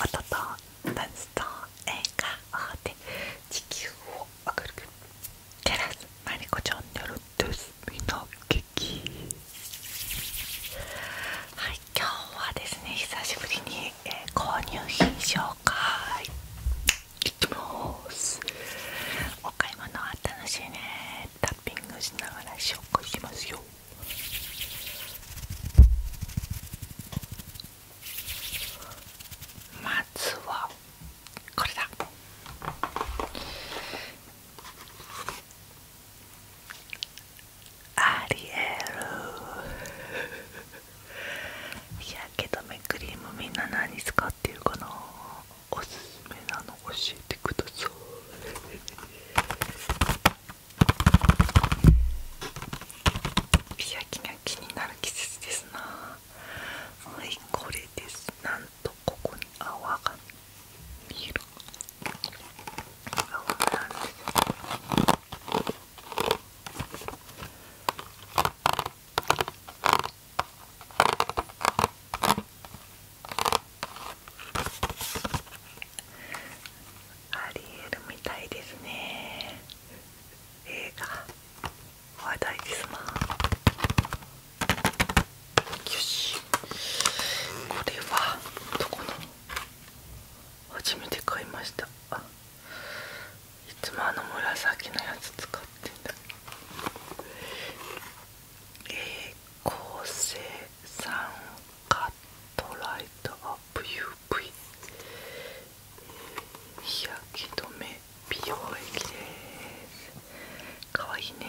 音とダンスと映画で地球を明るくテラスマリコちゃんによるですみの劇はい今日はですね久しぶりに、えー、購入品紹介いきますお買い物は楽しいねタッピングしながら紹介しますよまずはこれだありえる。日 焼け止めクリームみんな何使ってるかなおすすめなの教えてください日焼キが気になる季節ですなはいこれですなんとここに泡が見える泡なんですありえるみたいですね映画話題ですまなよしこれはどこの初めて買いましたいつもあの紫のやつ使ってんだえこー、構さん。カットライトアップユー UV 日焼け止め美容液ですかわいいね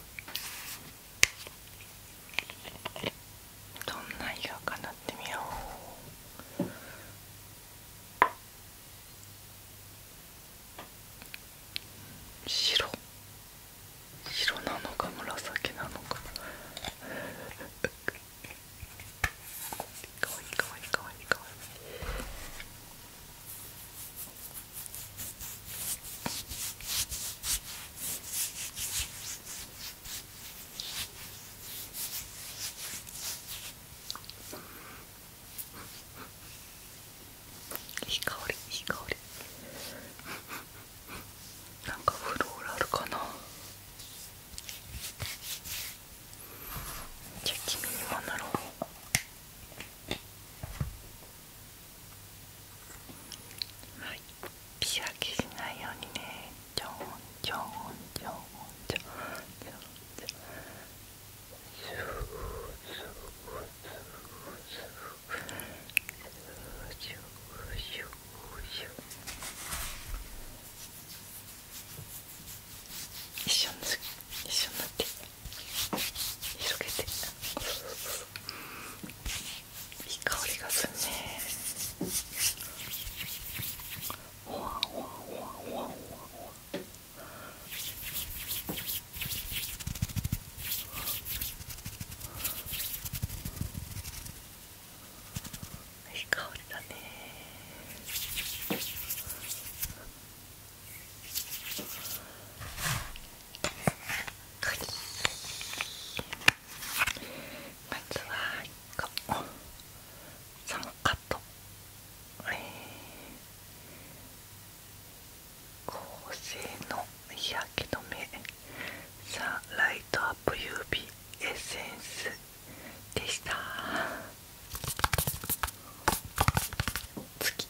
どんな色かなってみよう白白なのか紫なのか かわいいかわいいかわいいかわいいいい香りいい香りなんかフローラルかなじゃあ君にもなろうはい仕分けしないようにねちょんちょんちょんちょんちょんちょんスースースースーシューシューシューシューシュー一緒になって一緒になって。広げていい香りがするねほわほわほわほいい香りだねまずはここサムカットえー、合成の日焼け止めサンライトアップ UV エッセンスでした次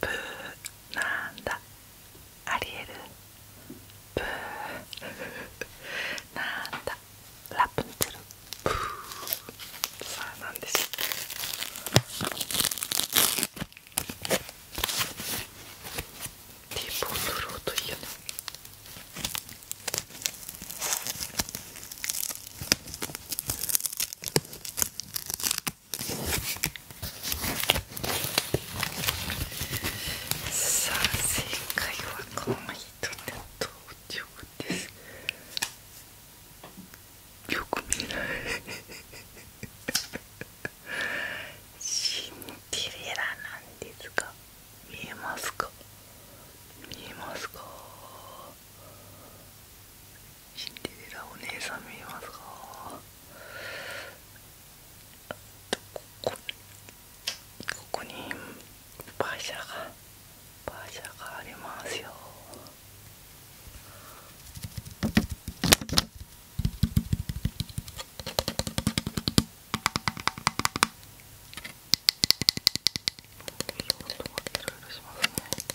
ブーなんだありえるブー なんだラプンツェルブーさあなんでしょうティーポン取る音いいよねさあ正解はこの人ですよく見ないシンデレラなんですが見えますか見えますかシンデレラお姉さん見えますかここにシャがシャがありますよいろいろしますね。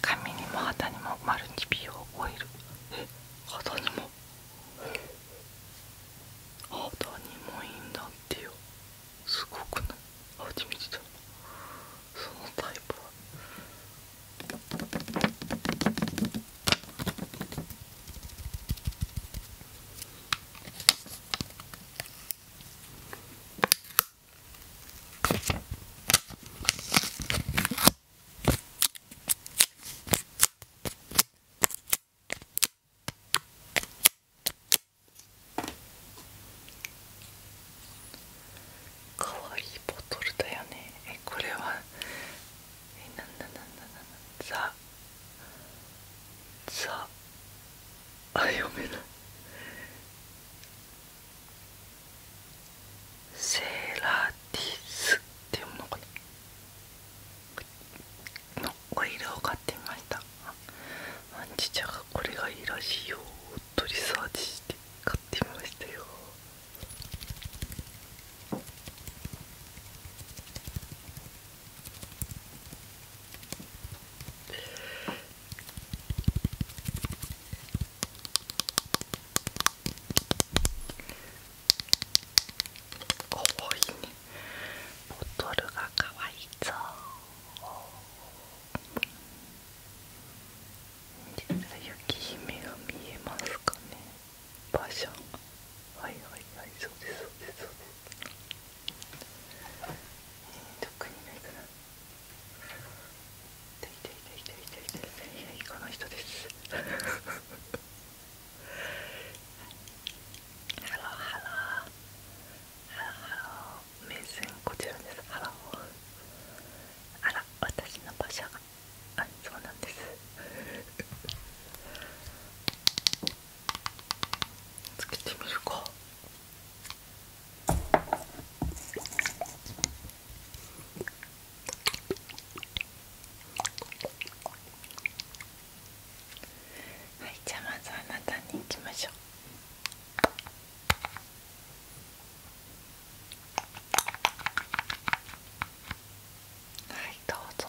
髪にも肌にもマルチ美容オイルえ肌にも肌にもいいんだってよすごくない初めてだそのタイプはかわいいボトルだよねえこれはえなんだなんだなんだザザあ読めないセーラーティスって読むのかなのオイルを買ってみましたアンチちゃんがこれがいいらしいよとリサーチして買ってみましたよかわいいねボトルがかわいいう。雪姫が見えますかねバーはいはいはいそうですそうですそうです、えー、特にないかな痛い痛い痛い痛い痛い痛い痛いこの人ですハローハローハローハロー目線こちらですハローあら私の場所あそうなんですつけてみるかはいじゃあまずあなたにいきましょうはいどうぞ。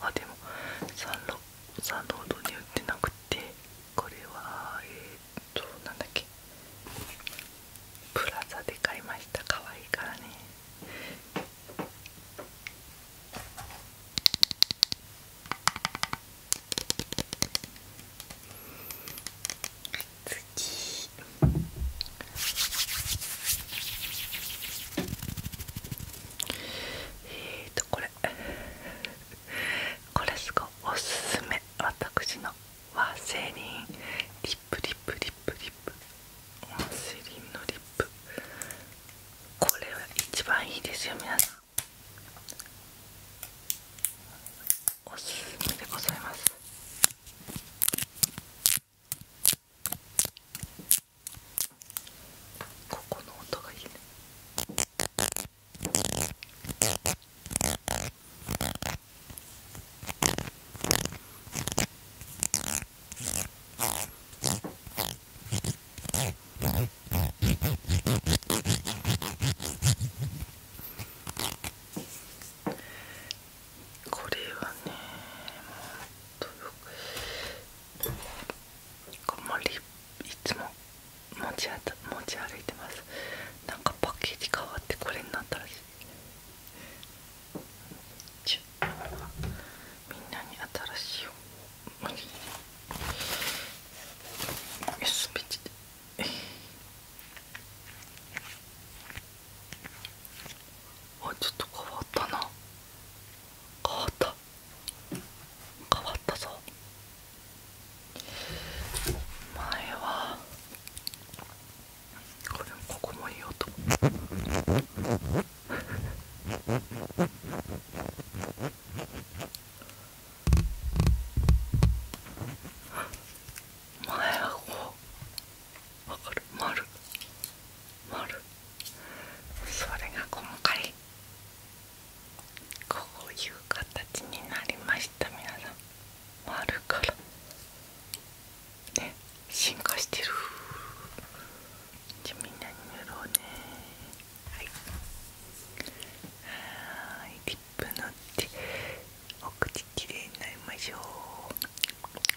あでもサンロサンロードに売ってなくてこれはえっとなんだっけプラザで買いました可愛いからね次えっとこれ これすごいおすすめ私のワセリンリップリップリップリップワセリンのリップこれは一番いいですよ皆さんおすすめでございますここの音がいいねこれはねというかあまりいつも持ちあ持ち歩いてますなんかパッケージ変わってこれになったらしいちゅみんなに新しいを無理に USB あちょっと変わったな変わった変わったぞ前はこれもここもいい音前はこうわかる丸丸それが今回こういう形になりました皆さん丸からね進化してるじゃあみんなに塗ろうねはいはいリップ塗ってお口きれいになりましょう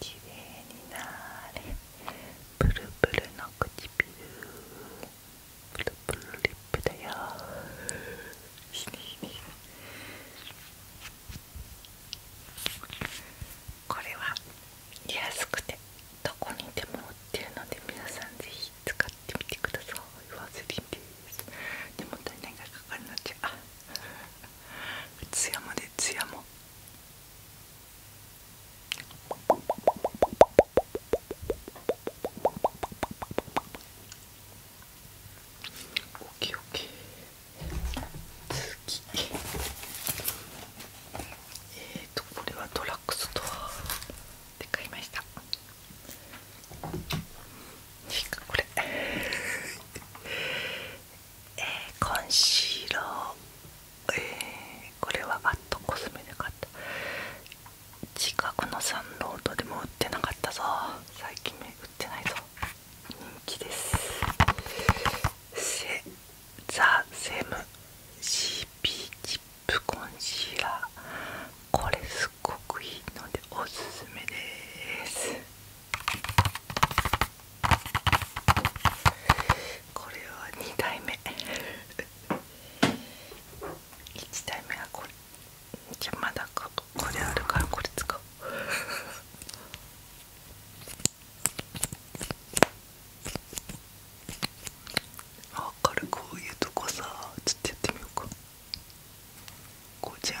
綺麗になれプルプルの唇プルプルリップだよこれは安くてどこにでも売ってるので皆さんぜひ使ってみてくださいワセリですでも足りないがかかるのじゃあツヤもでツヤもきおき次えっ、ー、とこれはドラッグストアで買いましたいいかこれえコンシーラー、えこれはワットコスメで買った近くのサンロードでも売ってなかったぞ最近売ってないぞ人気ですセザ・セム CP チップコンシーラーこれすっごくいいのでおすすめですこれは2代目1代目はこれじゃまだここれあるからこれ使おうあっ軽こういうとこさちょっとやってみようかこうじゃん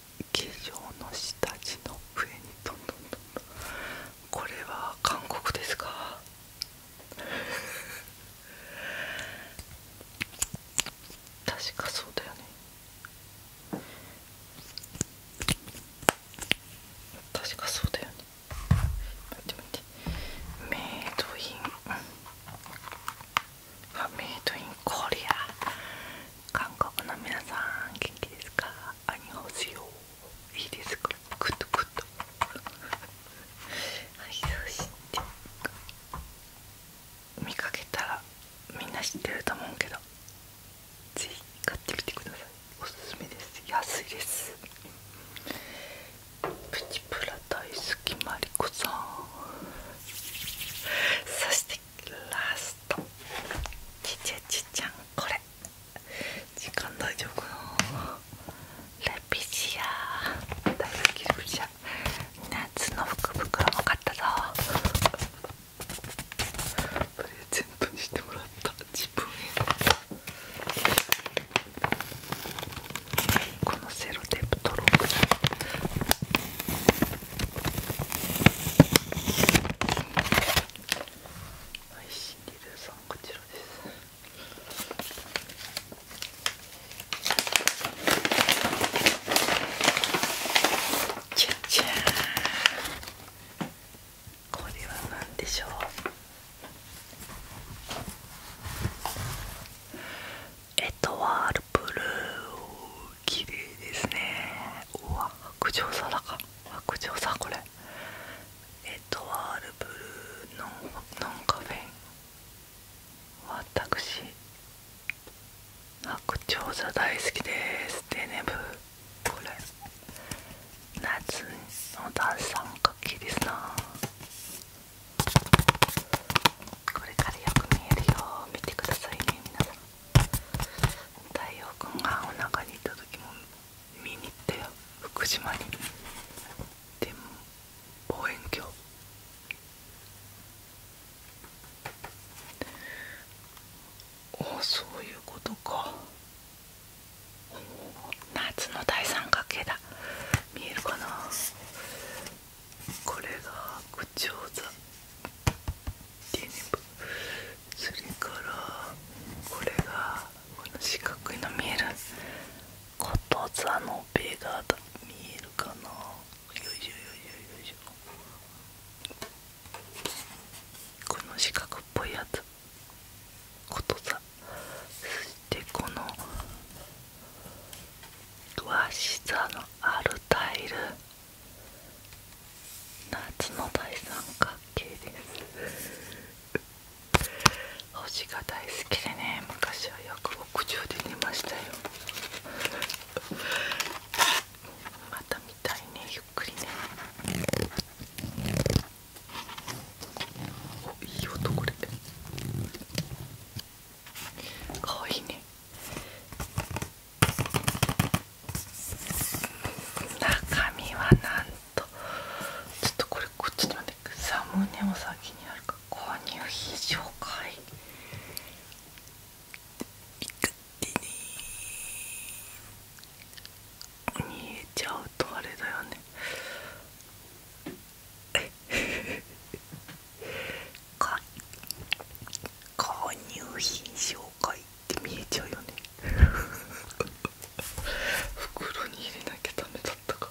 化粧の下地の上にどんどんどんどんこれは韓国ですか 確かそうだよね確かそうだよね待って待ってメイドインあメイドインコリア韓国の皆さん元気ですかいいですかはいそし見かけたらみんな知ってると思うけどぜひ買ってみてくださいおすすめです安いですプチプラ大好きマリコさんそしてラストちちゃちちゃんこれ時間大丈夫かなレピシア大好きレシア夏の福袋も買ったぞプレゼントにしてもらった自分へこのセロテープ取ロうかな配信リレーさんこちらですこれは何でしょうエトワールブルー綺麗ですねうわ白鳥座だか白鳥座これエトワールブルーノンカフェイン私白鳥座大好きですデネブこれ夏のダンス三角形ですなこれからよく見えるよ見てくださいね皆さん太陽君がおなかにいた時も見に行ったよ福島にでも望遠鏡ああそういうことか夏の大三角形だ見えるかなこれがこちょそれからこれがこの四角いの見えること座のベガだ見えるかなよいしょよいしょよいしょこの四角っぽいやつこと座。そしてこの和室のあるタイル夏の大三角形です星が大好きでね昔は約く屋で見ましたよまた見たいねゆっくりねおいい音これかわいいね中身はなんとちょっとこれこっちに待ってサムネを先にあるか購入費紹介勝手に逃げちゃうとあれだよねこ 購入品紹介って見えちゃうよね袋に入れなきゃダメだったか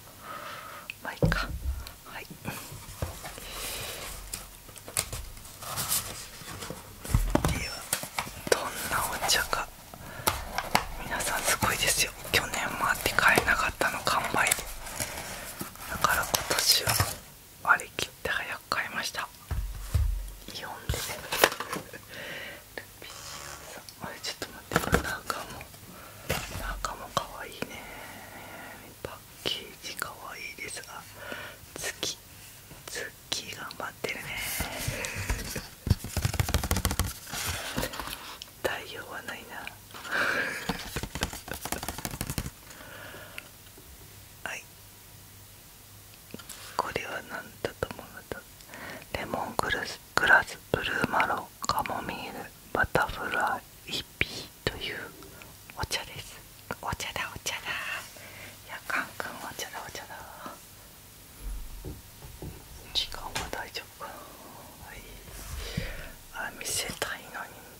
まあいいかはいではどんなお茶か皆さんすごいですよ去年もあって買えなかったの完売でだから今年は割り切って早く買いましたイオンあれちょっと待ってこれ中も中もかわいいねパッケージかわいいですが月月頑張ってるね太陽はないなはいこれは何だと思うんだレモングラスグラスブルーマロン、カモミールバタフライイピーというお茶ですお茶だお茶だいやカンカン、お茶だお茶だ時間は大丈夫かなはいあ見せたいのに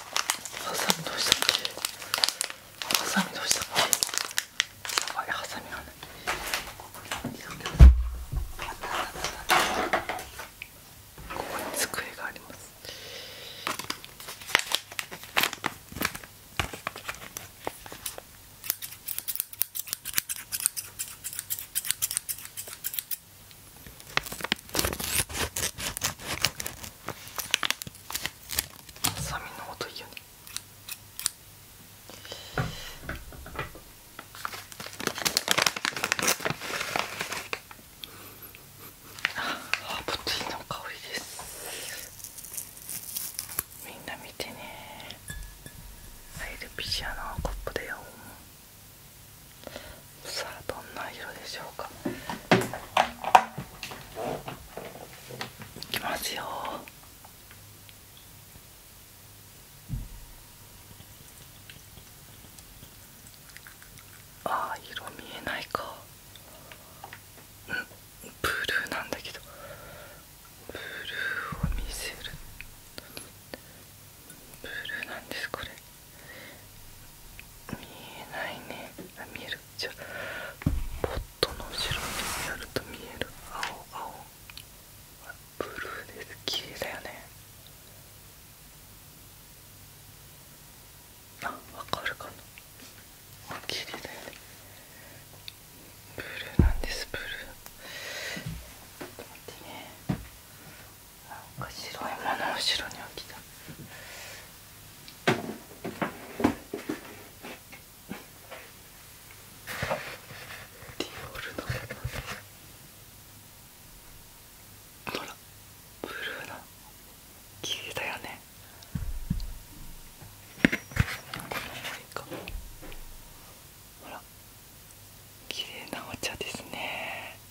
ハサミどうしたっけハサミどうしたっけやハサミがないここに机がありますハサミの音いいよねハーブティの香りですみんな見てねアイルピシアのコップだよさあどんな色でしょうかいきますよああ色見えないかうんブルーなんだけどブルーを見せるブルーなんですこれ見えないねあ見えるじゃあポットの後ろにやると見える青青ブルーです綺麗だよねあわかるかなあ綺麗だよねブルーなんですブルーちょっと待ってねなんか白いもの後ろに置きたディオールのほらブルーな綺麗だよねこのほら綺麗なお茶ですね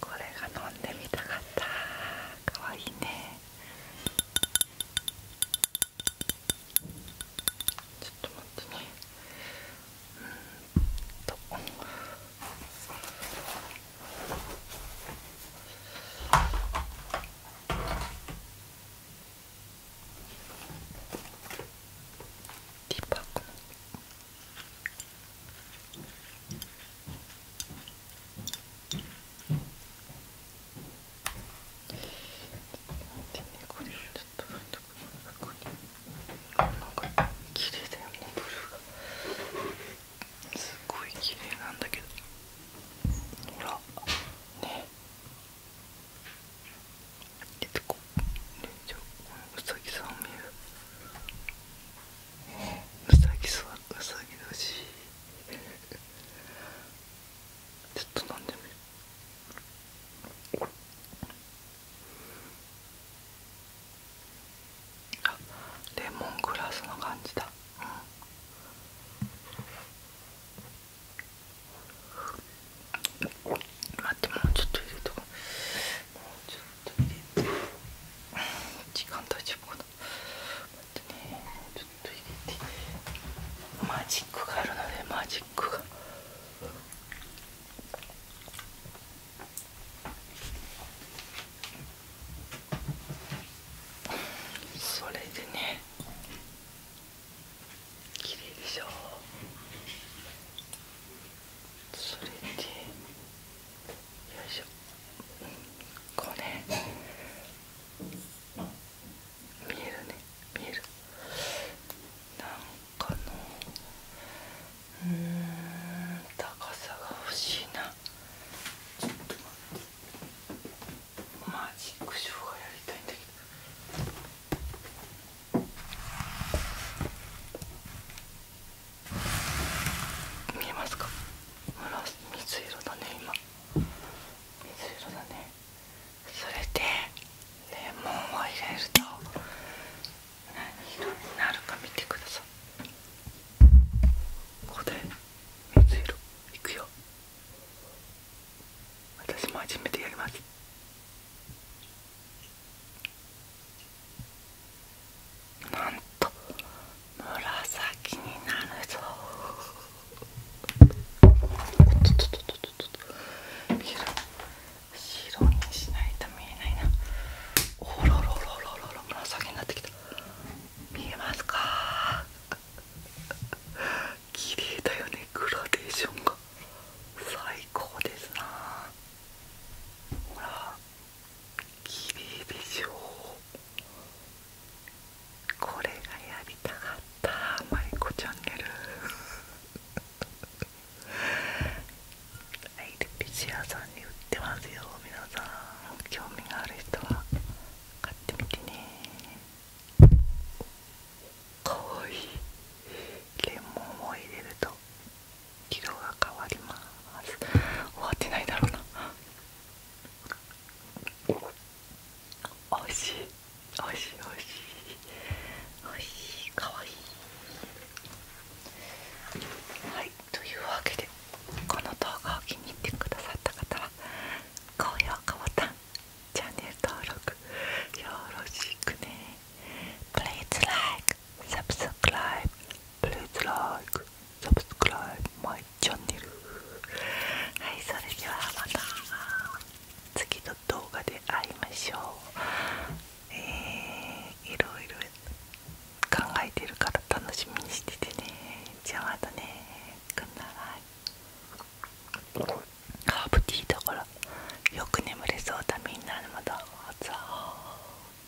これが飲んでみたかったかわいいねちょっと待ってねうんとティーパコン。これをちょっとここになんか綺麗だよねブルーがすごい綺麗なんだけどほらねえっと、こうねじゃあうさぎさん見るうさぎそううさぎ年 ちょっと飲んでみるあレモングラスの感じだうん待ってもうちょっと入れともうちょっと。トイレ時間大丈夫かな待っねちょっと入れてマジックがあるのでマジックが。それでねれ麗でしょそれでいしょこうね見えるね見えるなんかのうん高さが欲しいなちょっと待ってマジックショーがやりたいんだけど見えますか水色だね今水色だねそれでレモンを入れると何色になるか見てくださいここで水色いくよ私も初めてやりますなんと紫になるぞおっとっとっとっとっと見える白にしないと見えないなおろろろろろ紫になってきた見えますか綺麗だよねグラデーションが最高ですなほらきれいでしょうこれがやりたかったマイコチャンネルア イルピシアさんに売ってますよ皆さん興味がある人は買ってみてねかわいいレモンを入れると色が変わります終わってないだろうなおいしいおいしいおいしいおいしいかわいはいというわけでこの動画を気に入ってくださった方は高評価ボタンチャンネル登録よろしくねプレ e ツ s e l i サブスクライブ、b e p l ライク、サブスクライブ、マイチャンネル。はいそれではまた次の動画で会いましょうえー、いろいろ考えてるから楽しみにしててねじゃあまたねくんならいハーブティーだからよく眠れそうだみんなまた。